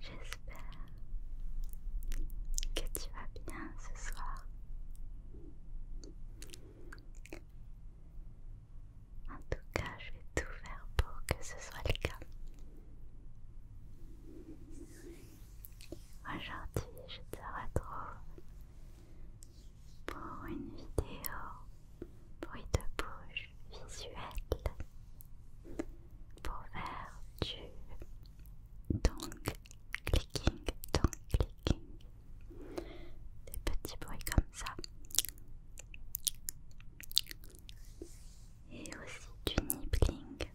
J'espère que tu vas bien ce soir. En tout cas, je vais tout faire pour que ce soit le cas. Aujourd'hui, je te retrouve pour une vidéo bruit de bouche visuelle pour faire du tongue clicking, tongue clicking, des petits bruits comme ça et aussi du nibbling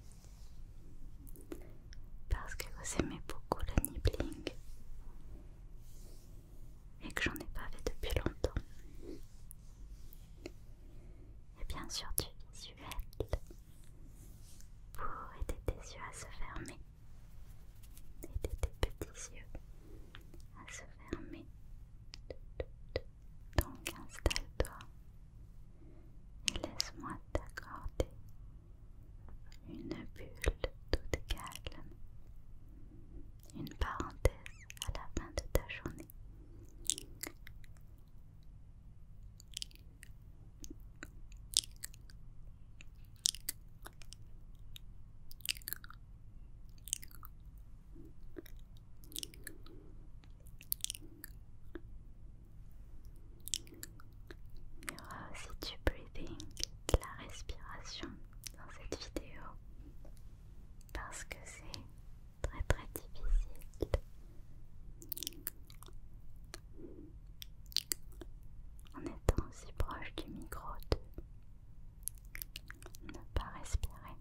parce que vous aimez beaucoup le nibbling et que j'en ai pas fait depuis longtemps. Et bien sûr du visuel pour aider tes yeux à se fermer, aider tes petits yeux à se fermer. Donc installe-toi et laisse-moi D'accorder une bulle toute calme, une parenthèse à la fin de ta journée. Il y aura aussi du breathing, de la respiration dans cette vidéo parce que c'est très très difficile. En étant aussi proche du micro de ne pas respirer.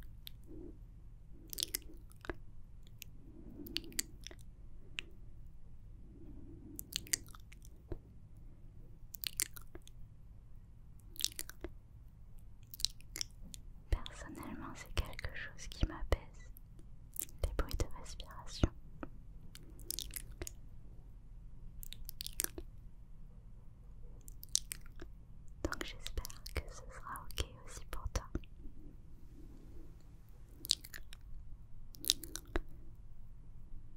Personnellement, c'est quelque chose qui m'apaise, Des bruits de respiration. Donc j'espère que ce sera ok aussi pour toi.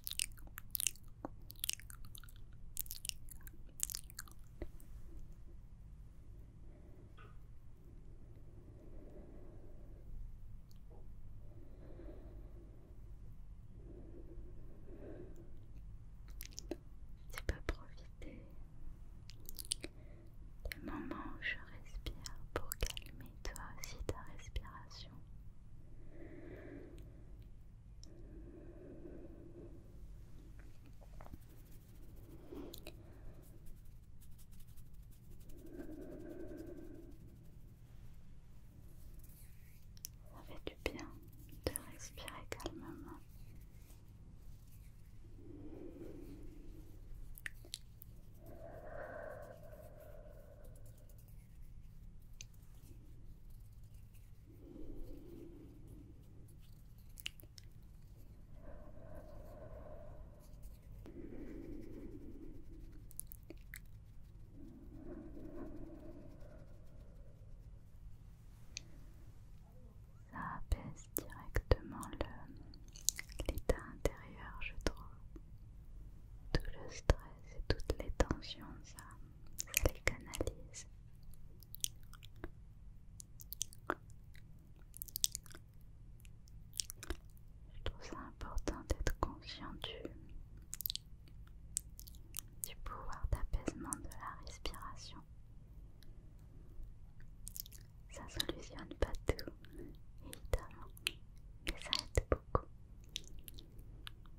Tu peux profiter du moment où je respire pour calmer toi aussi ta respiration. Ça fait du bien de respirer calmement. Ça apaise directement l'état intérieur, je trouve tout le stress et toutes les tensions, ça, ça les canalise. Je trouve ça important d'être conscient du, pouvoir d'apaisement de la respiration. Ça solutionne pas tout, évidemment, mais ça aide beaucoup.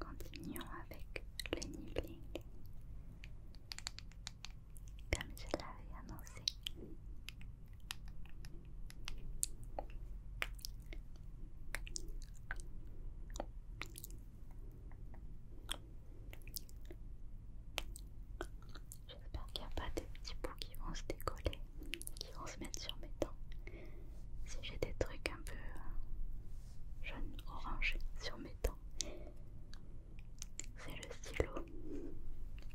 Continuons avec le nibbling comme je l'avais annoncé. J'espère qu'il n'y a pas de petits bouts qui vont se décoller, qui vont se mettre sur mes dents. Si j'ai des trucs un peu jaune orangé sur mes dents, c'est le stylo.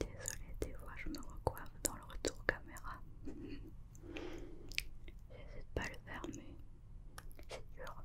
Désolée, des fois je me recoiffe dans le retour caméra. J'essaie de pas le faire, mais c'est dur.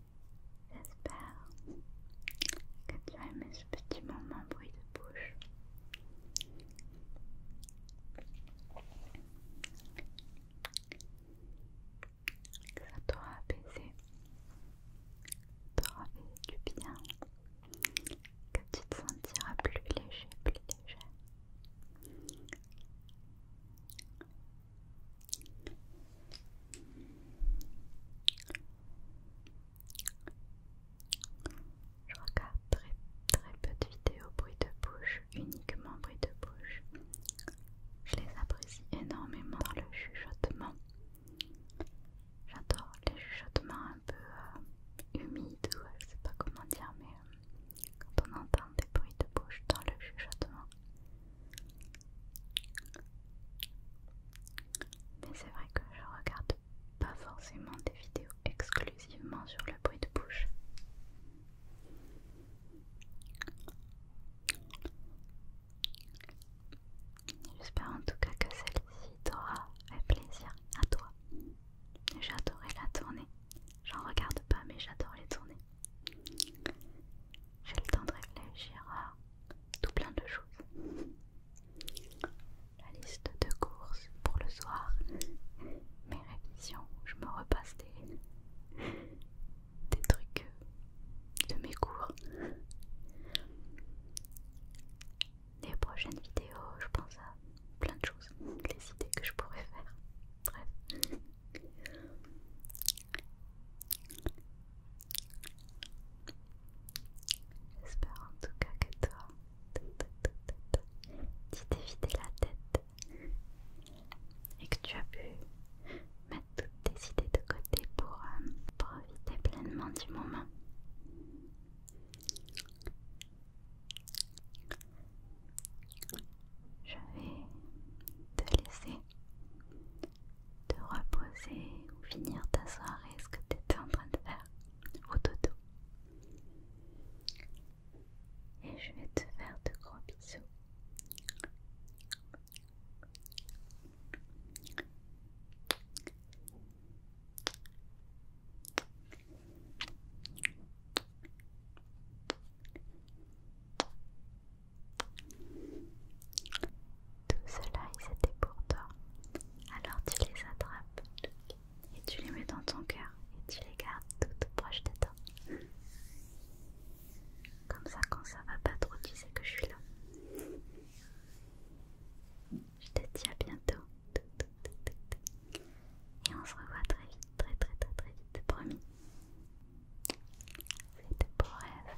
J'espère que tu as aimé ce petit moment bruit de bouche. Que ça t'aura apaisé, t'aura fait du bien, que tu te sentiras plus léger, plus léger. Je regarde très très peu de vidéos bruit de bouche, uniquement bruit de bouche. Je les apprécie énormément dans le chuchotement. J'adore les chuchotements un peu euh, humides ou je sais pas comment dire, mais euh, quand on entend des bruits de bouche dans le chuchotement, mais c'est vrai que je regarde pas forcément des vidéos exclusivement sur le bruit de bouche. J'espère en tout cas que celle-ci t'aura fait plaisir à toi. J'adorais la tournée. J'en regarde pas mais j'adore les tournées j'ai le temps de réfléchir à tout plein de choses. La liste de courses pour le soir, mes révisions, je me repasse des, des trucs de mes cours. Les prochaines vidéos, je pense à plein de choses, les idées que je pourrais faire. Bref. J'espère en tout cas que toi, tu t'es vidé la tête et que tu as pu mettre toutes tes idées de côté pour euh, profiter pleinement du moment. Je vais te laisser te reposer ou finir ta soirée, ce que tu étais en train de faire au dodo. Et je vais te faire de gros bisous. Tout cela, c'était pour toi. Alors tu les attrapes et tu les mets dans ton cœur et tu les gardes tout, proches proche de toi. Comme ça, quand ça va pas trop, tu sais que je suis là. Je te dis à bientôt. Et on se revoit très vite, très très très très vite, promis. C'était pour rêves.